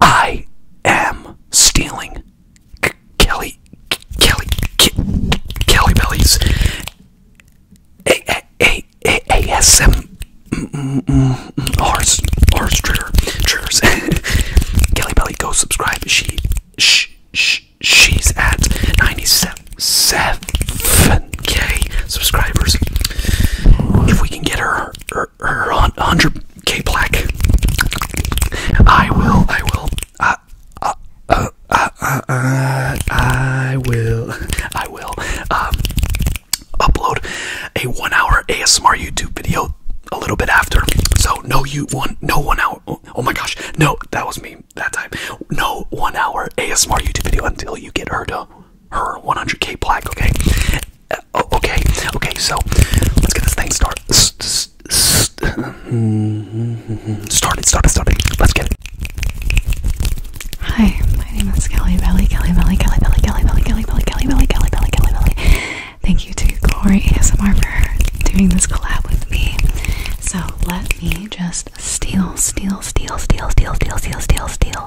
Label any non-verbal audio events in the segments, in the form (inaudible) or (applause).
I am stealing K Kelly K Kelly K Kelly Belly's A A A A ASM mm, mm, mm, horse horse trigger triggers. (laughs) Kelly Belly, go subscribe. She sh sh she's at ninety seven k subscribers. If we can get her, her her her hundred k black. I will. I will. Uh, uh, uh, uh, uh, I will. I will. Um, upload a one-hour ASMR YouTube video a little bit after. So no, you one no one hour. Oh, my gosh, no, that was me that time. No one hour ASMR YouTube video until you get her her 100k black, okay? Uh, okay, okay, so let's get this thing started. Mm-hmm, started, started, started. Let's get it. Hi, my name is Kelly Belly, Kelly Belly, Kelly Belly, Kelly Belly, Kelly Belly, Kelly Belly, Kelly Belly, Kelly Belly. Thank you to Glory ASMR for doing this collab with me. So let me just steal, steal, steal, steal, steal, steal, steal, steal,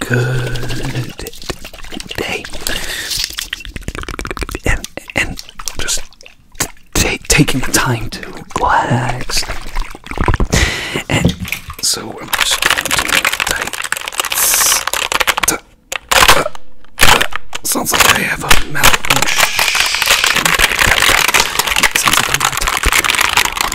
good day and and just taking the time to relax. And so I'm just going to uh, uh, sounds like I have a malfunction. Sounds like I'm on top.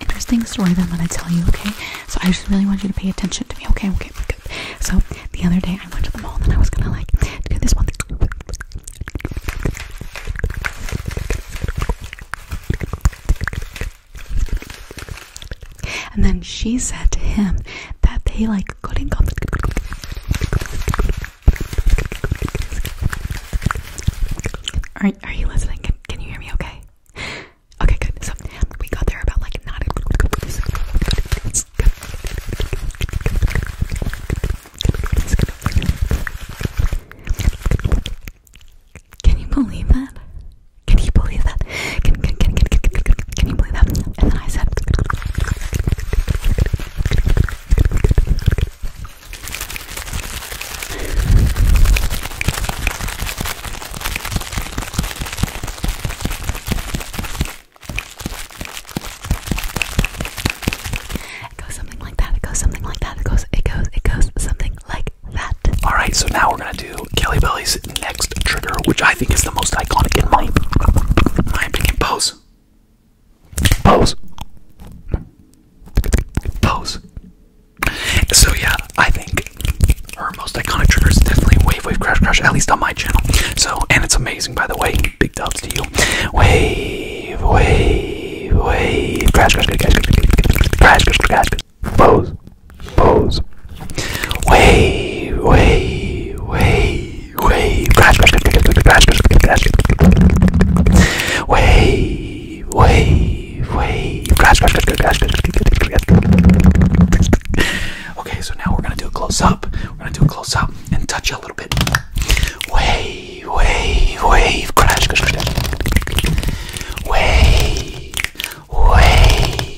interesting story that I'm going to tell you, okay? So I just really want you to pay attention to me, okay? Okay, good. So the other day I went to the mall and I was going to like do this one And then she said to him that they like couldn't come. Are, are you listening? can you hear me okay? Okay, good. So we got there about like nine. Can you believe that? Can you believe that? Can can can can can, can, can you believe that? And then I said. It goes something like that. It goes something like that. It goes, it goes, it goes something like that. Alright, so now we're gonna do Kelly Belly's next trigger, which I think is the most iconic in my, my opinion. Pose. Pose. Pose. So yeah, I think her most iconic trigger is definitely Wave Wave Crash Crash, at least on my channel. So, and it's amazing by the way. Big dubs to you. Wave, wave, wave, crash, crash, crash, crash, crash, crash, crash, crash, pose, pose. Wave, wave, wave, wave, crash, crash, crash, crash, crash, crash, crash, crash, wave, wave wave, wave, crash, crash, crash, crash, crash, crash, crash. Okay, so now we're gonna do a close up. We're gonna do a close up and touch you a little bit. Wave, wave, wave, crash, crash, crash, crash. Wave, wave,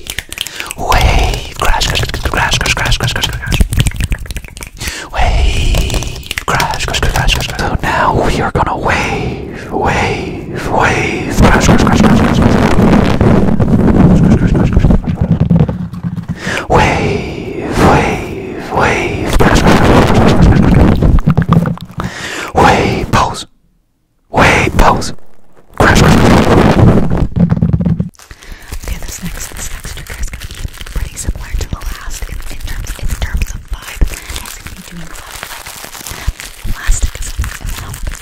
wave, crash, crash, crash, crash, crash, crash, crash, crash. Wave, crash, crash, crash, crash, crash. So now we are gonna wave wave, wave, wave. Wave, wave, wave. Wave pose. Wave pose. Crash, Okay, this next this next trigger is gonna be pretty similar to the last in, in terms in terms of vibe. It's gonna be doing vibe. Elastic is a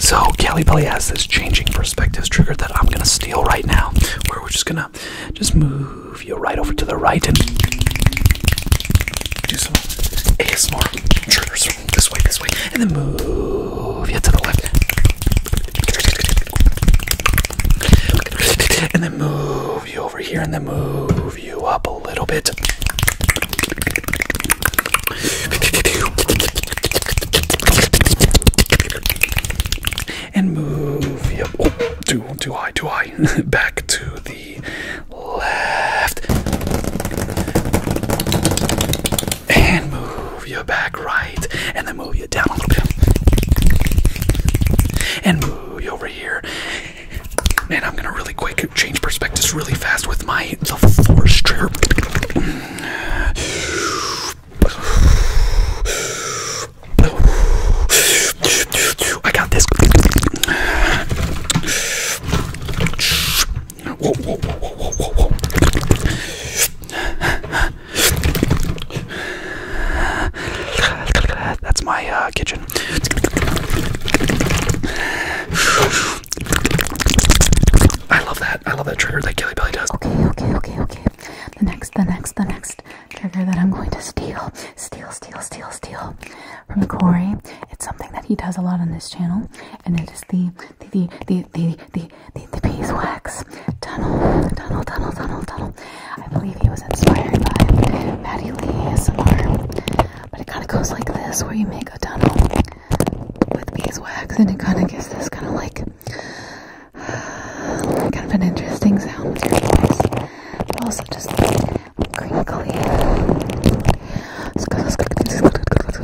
So Kelly Belly has this changing perspectives trigger that I'm gonna steal right now, where we're just gonna just move you right over to the right and do some ASMR triggers this way, this way, and then move you to the left. And then move you over here and then move you up a little bit. And move you up. Oh, too, too high, too high. (laughs) Back to the left. And move your back right. And then move your down a little bit. And move you over here. And I'm gonna really quick change perspectives really fast with my the force trigger. I got this. That's my uh, kitchen. I love that. I love that trigger that Kelly Billy does. Okay, okay, okay, okay. The next, the next, the next trigger that I'm going to steal, steal, steal, steal, steal from Corey. It's something that he does a lot on this channel, and it is the the the the the the, the beeswax tunnel tunnel tunnel tunnel tunnel. I believe he was inspired by Patty Lee ASMR. But it kind of goes like this, where you make a tunnel with beeswax, and it kind of gives this kind of like uh, (sighs) kind of an interesting sound with your voice, but also just crinkly.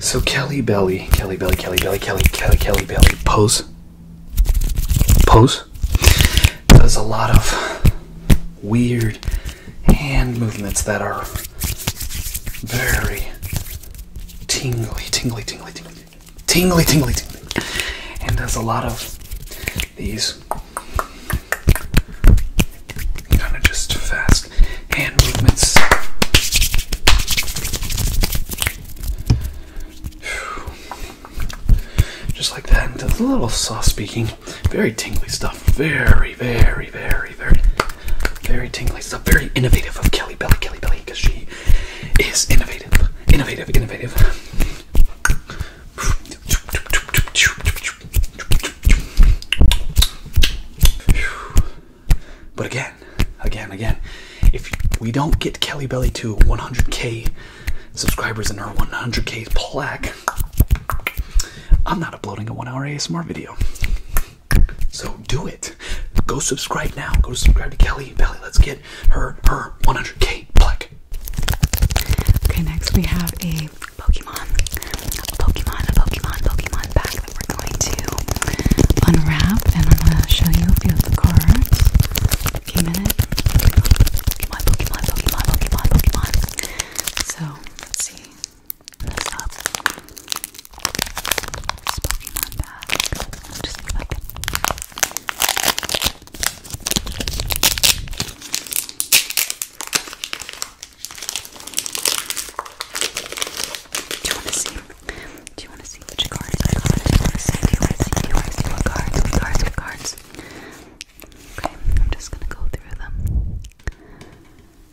So Kelly Belly, Kelly Belly, Kelly Belly, Kelly Kelly Kelly Belly pose pose does a lot of weird hand movements that are very tingly, tingly, tingly, tingly, tingly, tingly, tingly, and does a lot of these kind of just fast hand movements. Just like that, and does a little soft speaking, very tingly stuff stuff. Very, very, very, very, very tingly stuff. Very innovative of Kelly Belly, Kelly Belly, because she is innovative, innovative, innovative. But again, again, again, if we don't get Kelly Belly to 100k subscribers and our 100k plaque, I'm not uploading a one hour ASMR video. So do it. Go subscribe now. Go subscribe to Kelly Belly. Let's get her her 100k black. Okay, next we have a Pokemon, a Pokemon, a Pokemon, Pokemon pack that we're going to unwrap, and I'm gonna show you a few cards. Pokemon, Pokemon, Pokemon, Pokemon, Pokemon. So see. Do you want to see? Do you want to see which cards I got? Do you want to see? Do you want to see? Do you want to see what cards? What cards? cards? Okay, I'm just gonna go through them.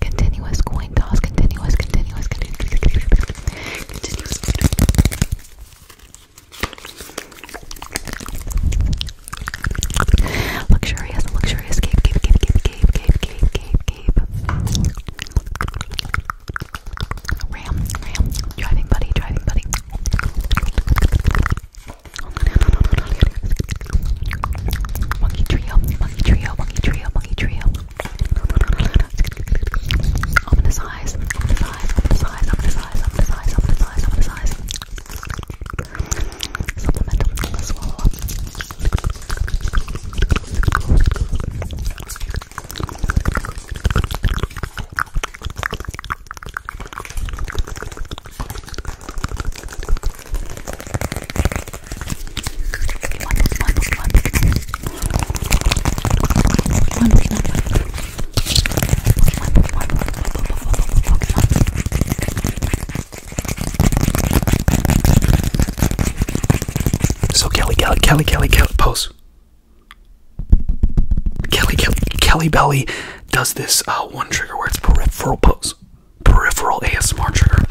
Continuous coin toss. Continuous, continuous, continuous, continuous. continuous. Luxurious, luxurious cave, cave, cave, cave, cave, cave, cave, cave, Ram, ram, driving buddy, driving buddy. Monkey trio, monkey trio, monkey trio, monkey trio. Ominous eyes, ominous eyes, ominous eyes, ominous eyes, ominous eyes, ominous eyes, ominous eyes. Supplemental, let's swallow up. So Kelly, Kelly, Kelly, Kelly, Kelly, pose. Kelly, Kelly, Kelly Belly does this uh, one trigger where it's peripheral pose peripheral ASMR trigger,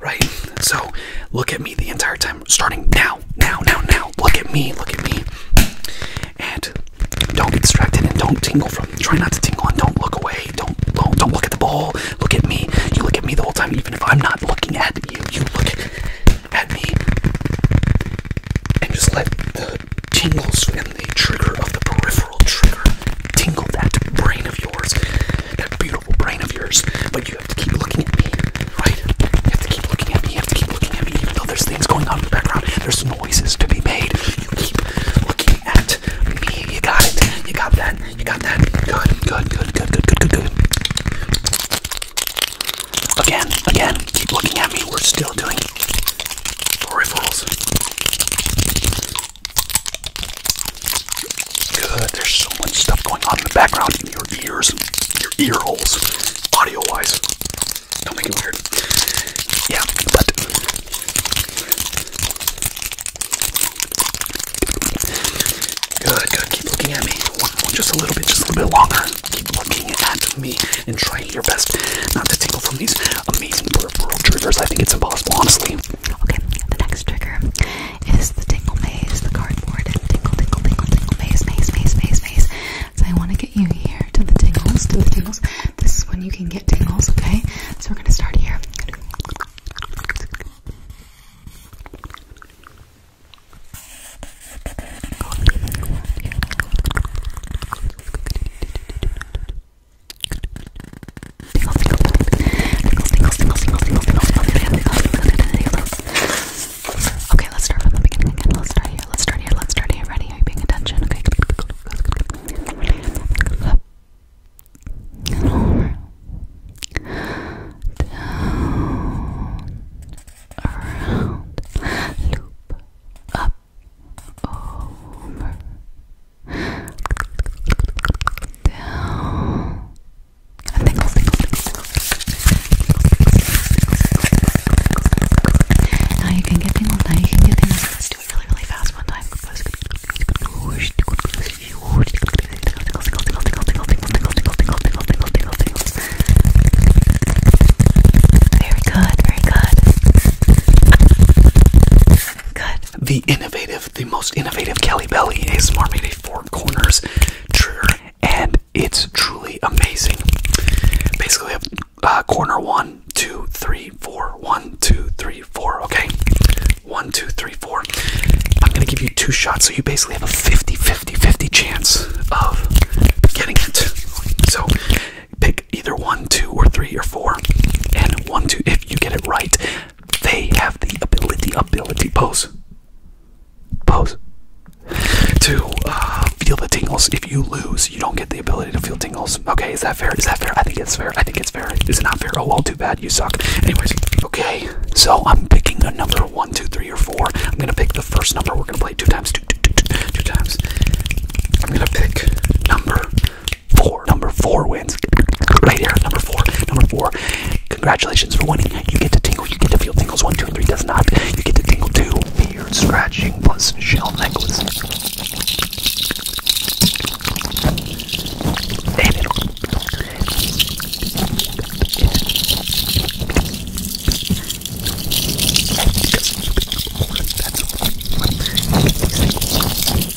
right? So look at me the entire time, starting now, now, now, now. Look at me, look at me, and don't get distracted and don't tingle from. Try not to tingle and don't look away. Don't don't look at the ball. Look at me. You look at me the whole time, even if I'm not looking at you. You look at me and just let the tingles and the trigger of the peripheral trigger tingle that brain of yours. That beautiful brain of yours, but you have to keep looking at me, right? You have to keep looking at me, you have to keep looking at me, even though there's things going on in the background, there's noises to be made. You keep looking at me, you got it, you got that, you got that. Good, good, good, good, good, good, good, good. Again, again, keep looking at me, we're still doing peripherals. Good. There's so much stuff going on in the background in your ears and your ear holes, audio wise. Don't make it weird. Yeah, but good, good. Keep looking at me. just a little bit, just a little bit longer. Keep looking at me and trying your best not to tingle from these amazing peripheral triggers. I think it's impossible, honestly. Okay, the next trigger is the tingle maze, the cardboard tingle, tingle, tingle, tingle maze, maze, maze, maze, maze. So I want to get you here to the tingles, to the tingles. This is when you can get tingles, okay? So we're gonna start here. Okay, let's start from the beginning again. Let's start here. Let's start here. Let's start here. Ready? Are you paying attention? Okay. Up and over. Down. Around. Loop. Up. Over. Now you can get tingles, now you can get tingles. Let's do it really, really fast one time. Very good, very good. Good. The innovative the most innovative Kelly Belly is ASMR made a four corners trigger, and it's truly amazing. Basically, I have uh, corner one, two, three, four, one, two, three, four. Okay, one, two, three, four. I'm gonna give you two shots, so you basically have a 50 50 50 chance of getting it. So pick either one, two, or three, or four, and one, two. If you get it right, they have the ability, ability, pose, pose, to uh, feel the tingles. If you lose, you don't get the ability to feel tingles. Okay, is that fair? Is that fair? I think it's fair. I think it's fair. Is it not fair? Oh, well, too bad. You suck. Anyways, okay, so I'm picking a number one, two, three, or four. I'm gonna pick the first number. We're gonna play two times, Two times. I'm gonna pick number four. Number four wins. Right here, number four. Number four. Congratulations for winning. You get to tingle. You get to feel tingles. one two three does not. You get to tingle two. Beard scratching plus shell necklace. Okay,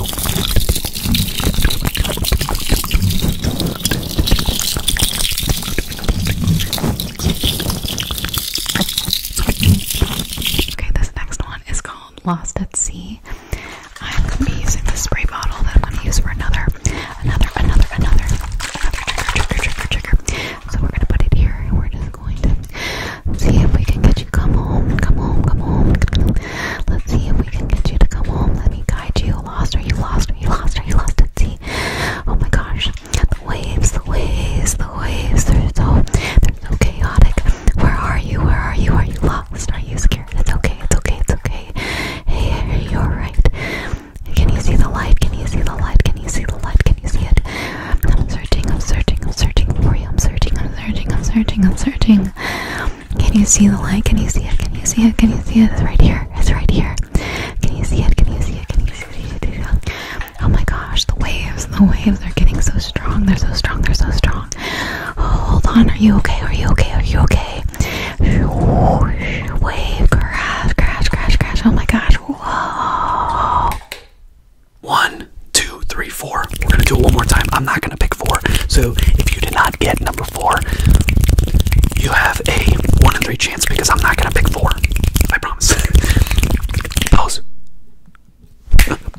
this next one is called Lost at Sea. I'm gonna be using the spray bottle that I'm gonna use for another, another, another, another, another trigger, trigger, trigger, trigger. So we're gonna put it here and we're just going to see if we can get you come home, come home, come home. Let's see if we can get you to come home. Let me guide you. Lost, are you lost? Are you lost? Are you lost? Let's see. Oh my gosh. The waves, the waves, the waves. They're so, they're so chaotic. Where are you? Where are you? Are you lost? Are you scared? It's okay. It's okay. It's okay. Hey, you're right. Can you see the light? Can you see the light? Can you see the light? Can you see it? I'm searching. I'm searching. I'm searching for you. I'm searching. I'm searching. I'm searching. I'm searching. Can you see the light? Can you see it? Can you see it? Can you see it? It's right here. It's right here. Can you see it? Can you see it? Can you see it? Oh my gosh, the waves, the waves they are getting so strong. They're so strong. They're so strong. Oh, hold on. Are you okay? Are you okay? Are you okay? Wave crash, crash, crash, crash. Oh my gosh. Whoa. One, two, three, four. We're gonna do it one more time. I'm not gonna going to pick four. So if you did not get number four, you have a one in three chance because I'm not going to pick four. I promise. Pose.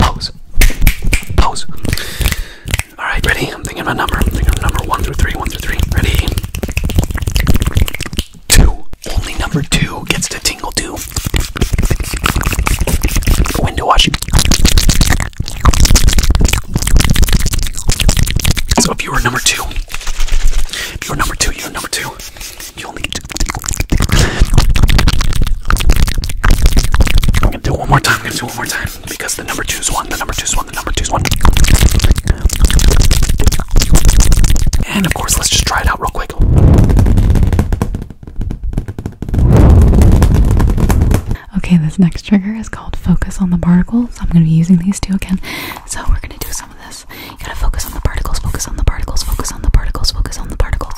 Pose. Pose. Alright, ready? I'm thinking of a number. I'm thinking of number one through three. One through three. Ready? Two. Only number two gets to tingle two. Window washing. So if you were number two, if you are number two, you're number two. You only get two. I'm gonna do it one more time. I'm gonna do it one more time because the number two's one. The number two's one. The number two's one. And of course, let's just try it out real quick. Okay, this next trigger is called Focus on the Particles. I'm going to be using these two again. So we're going to do some of this. You got to focus on the particles, focus on the particles, focus on the particles, focus on the particles.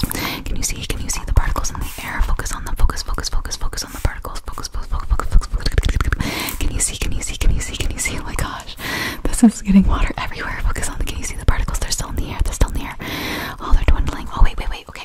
Can you see? Can you see the particles in the air? Focus on them, focus, focus, focus, focus on the particles. Focus, focus, focus, focus, focus. focus. Can you see? Can you see? Can you see? Can you see? Oh my gosh. This is getting water everywhere. Focus on the, can you see the particles? They're still in the air. They're still in the air. Oh, they're dwindling. Oh, wait, wait, wait. Okay.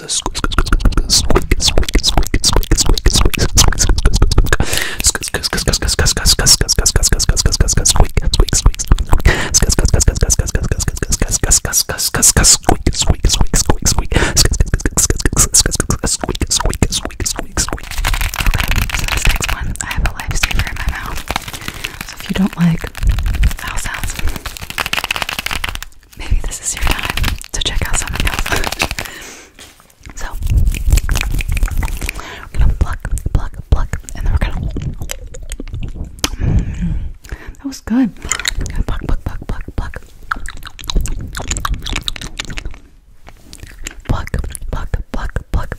because of squeak, squeak, squeak, squeak, squeak, squeak, squeak, squeak, squeak, maybe this is your time to check out something (laughs) else. so, we're gonna pluck, pluck, pluck, and then we're gonna. Mm, that was good. Pluck, pluck, pluck, pluck, pluck. Pluck, pluck, pluck, pluck.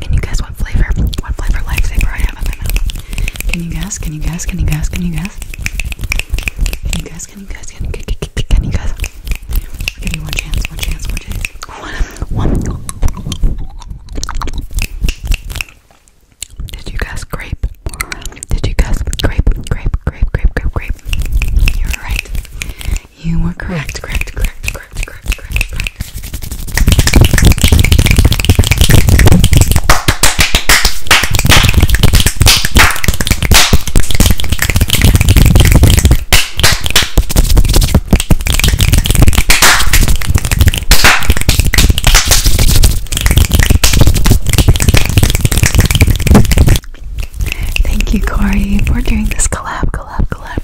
Can you guess what flavor? What flavor lightsaber I have my mouth? Can you guess? Can you guess? Can you guess? Can you guess? Can you guess? Can you guess? Can you guess? give you one chance. One chance. One chance. One. Did you guess grape? Did you guess grape? Grape. Grape. Grape. Grape. Grape. You're right. You were Correct. Correct. Correct. Correct. Thank you, Corey, for doing this collab, collab, collab,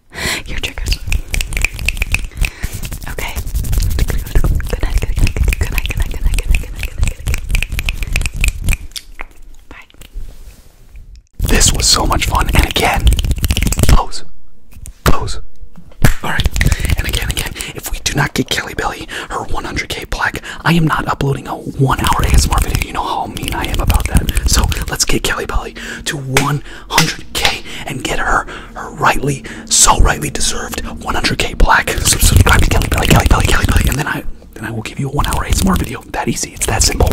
Your triggers. Okay. Good Bye. This was so much fun, and again, close, close. All right, and again, again, if we do not get Kelly Billy her 100k plaque, I am not uploading a one-hour ASMR video. You know how mean I am about that. So let's get Kelly Billy to 100k and get her her rightly, so rightly deserved 100k black. So subscribe to Kelly Belly, Kelly Belly, Kelly Belly, and then I, then I will give you a one-hour ASMR video. That easy. It's that simple.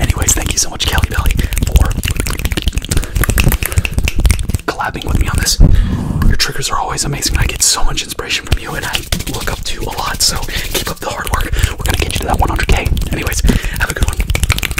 Anyways, thank you so much, Kelly Belly, for collabing with me on this. Your triggers are always amazing. I get so much inspiration from you, and I look up to you a lot. So keep up the hard work. We're gonna get you to that 100k. Anyways, have a good one.